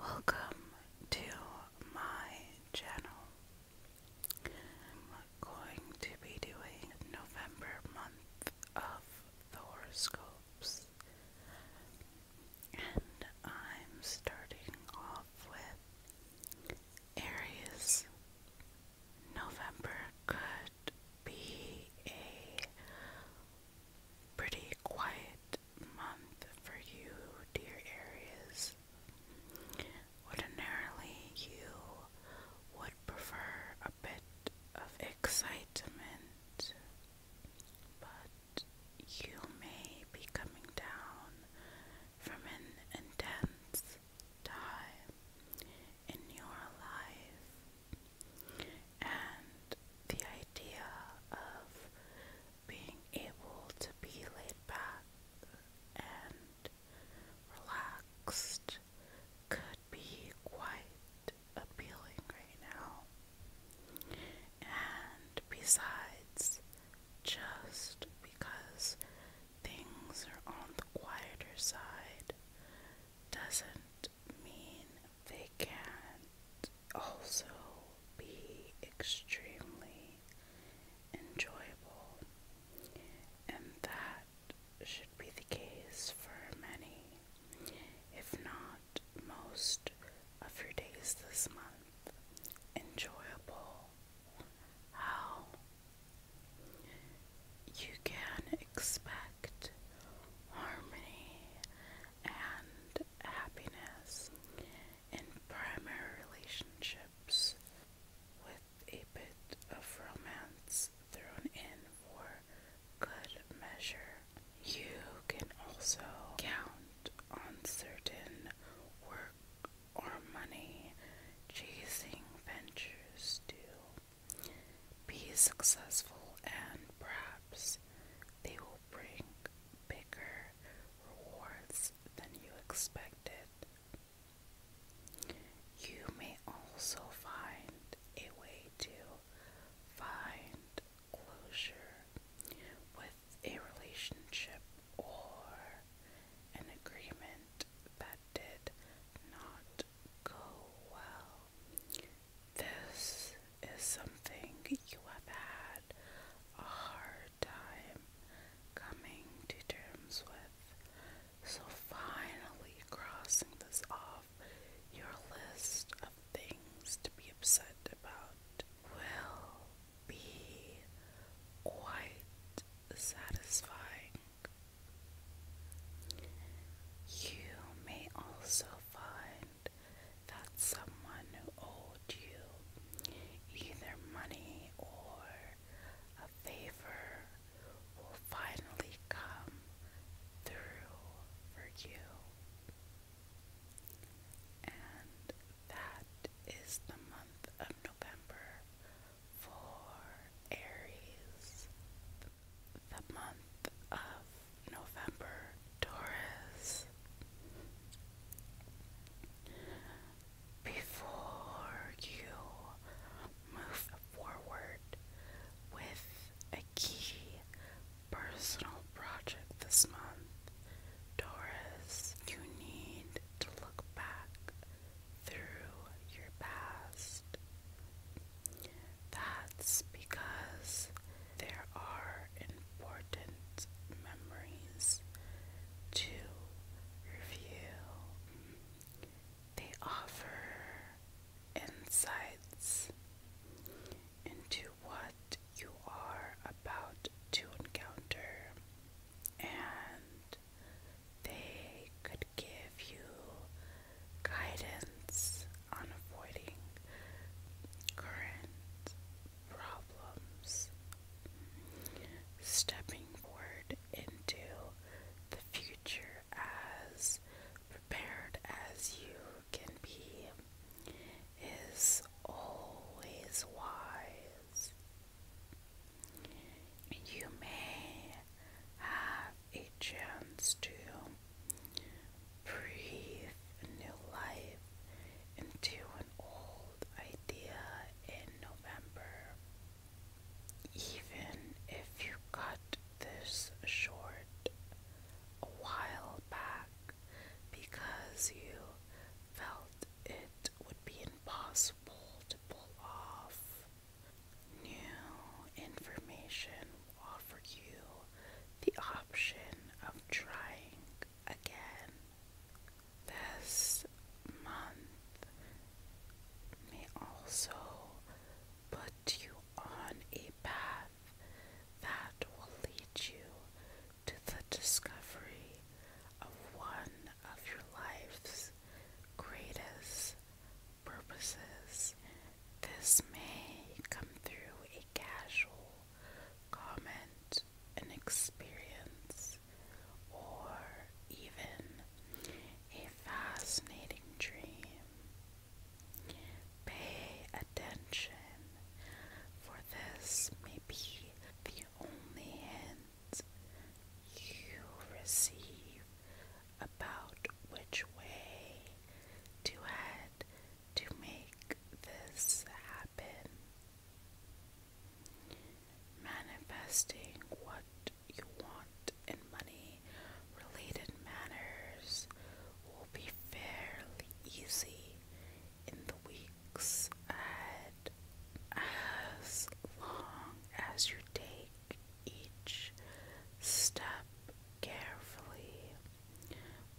Welcome to my channel. I'm going to be doing November month of horoscopes. And I'm starting off with Aries. November could be a pretty quiet month for you, dear Aries. Ordinarily, you would prefer a bit of excitement, but you may be coming down from an intense time in your life and the idea of being able to be laid back and relaxed could be quite appealing right now. And besides, just because things are on the quieter side doesn't mean they can also be extremely enjoyable, and that should be the case for many, if not most, of your days this month. Enjoyable. How? You can expect harmony and happiness in primary relationships with a bit of romance thrown in for good measure. You can also count on certain work or money chasing ventures to be successful and perhaps they will bring bigger rewards than you expected. You may also find a way to find closure with a relationship or an agreement that did not go well this is something you have had a hard time coming to terms with. So finally crossing this off your list of things to be upset about will be quite satisfying. You may also find that someone who owed you either money or a favor will finally come through for you. And that is the month of November for Aries the month of November, Taurus. Before you move forward with a key personal project this month, Doris, you need to look back through your past. That's because there are important memories to review. They offer insights into what you are about to encounter, and they could give you guidance on avoiding current problems, stepping forward into the future as prepared as you can be is always wise. You may have a chance to Breathe new life into an old idea in November. Even if you cut this short a while back because you felt it would be impossible to pull off, new information offer you the option of trying again. This month may also put you on a path that will lead you to the discovery of one of your life's greatest purposes. This may come through a a casual comment, an experience, or even a fascinating dream. Pay attention, for this may be the only hint you receive about which way to head to make this happen. Manifesting what you want in money related matters will be fairly easy in the weeks ahead as long as you take each step carefully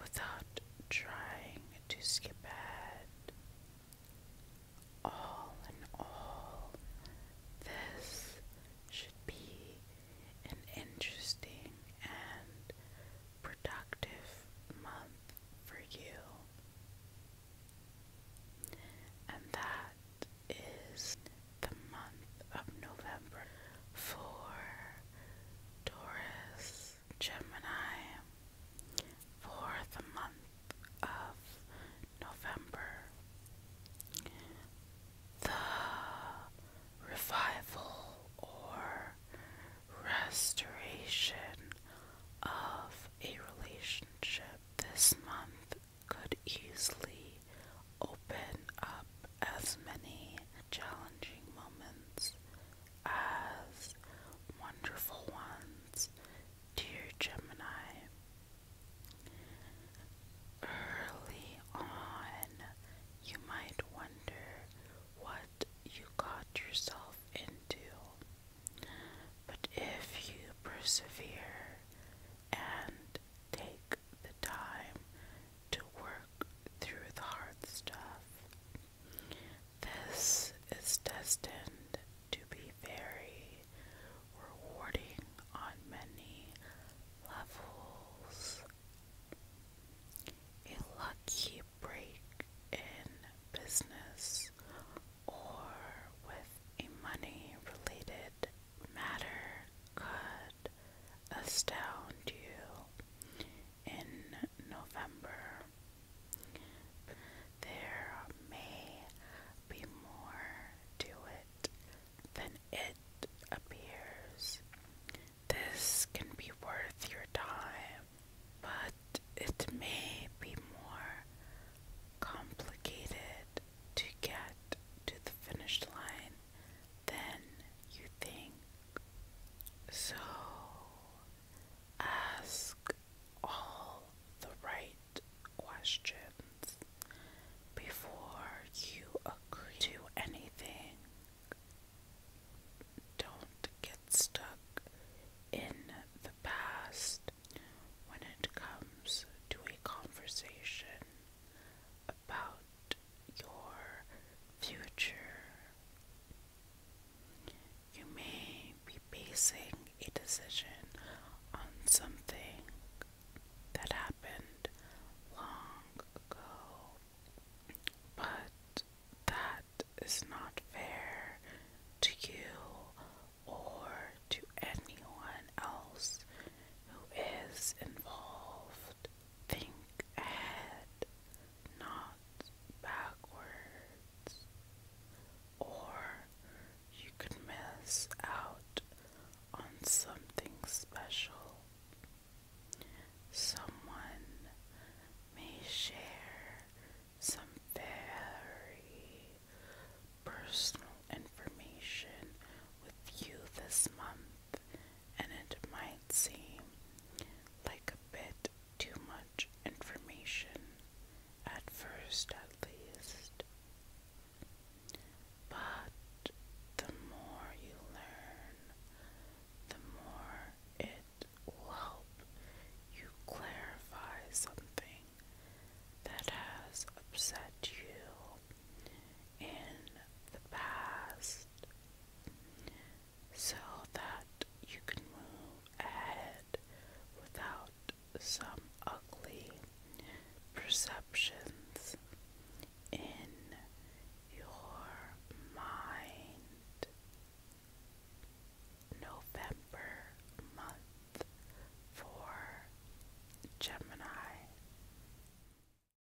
without trying to skip ahead. All in all, this should be an interesting and productive month for you. And that is the month of November for Taurus, Gemini, for month of November. The revival or restoration of a relationship this month could easily open up as many challenging moments as wonderful ones, dear Gemini. Early on, you might wonder what you got yourself into, but if you persevere and take the time to work through the hard stuff. This is destined to be very rewarding on many levels. A lucky break in business or with a money related matter could Astound you in November. There may be more to it than it appears. This can be worth your time, but it may be more complicated to get to the finish line than you think. So ask all the right questions before you agree to anything. Don't get stuck in the past when it comes to a conversation about your future. You may be basing a decision on something that happened long ago, but that is not fair to you or to anyone else who is involved. Think ahead, not backwards, or you could miss out on something special. Someone may share some very personal information with you this month and it might seem like a bit too much information, at first at least. But the more you learn, the more it will help you clarify something that has upset you in the past so that you can move ahead without some ugly perceptions in your mind. November month for Gemini.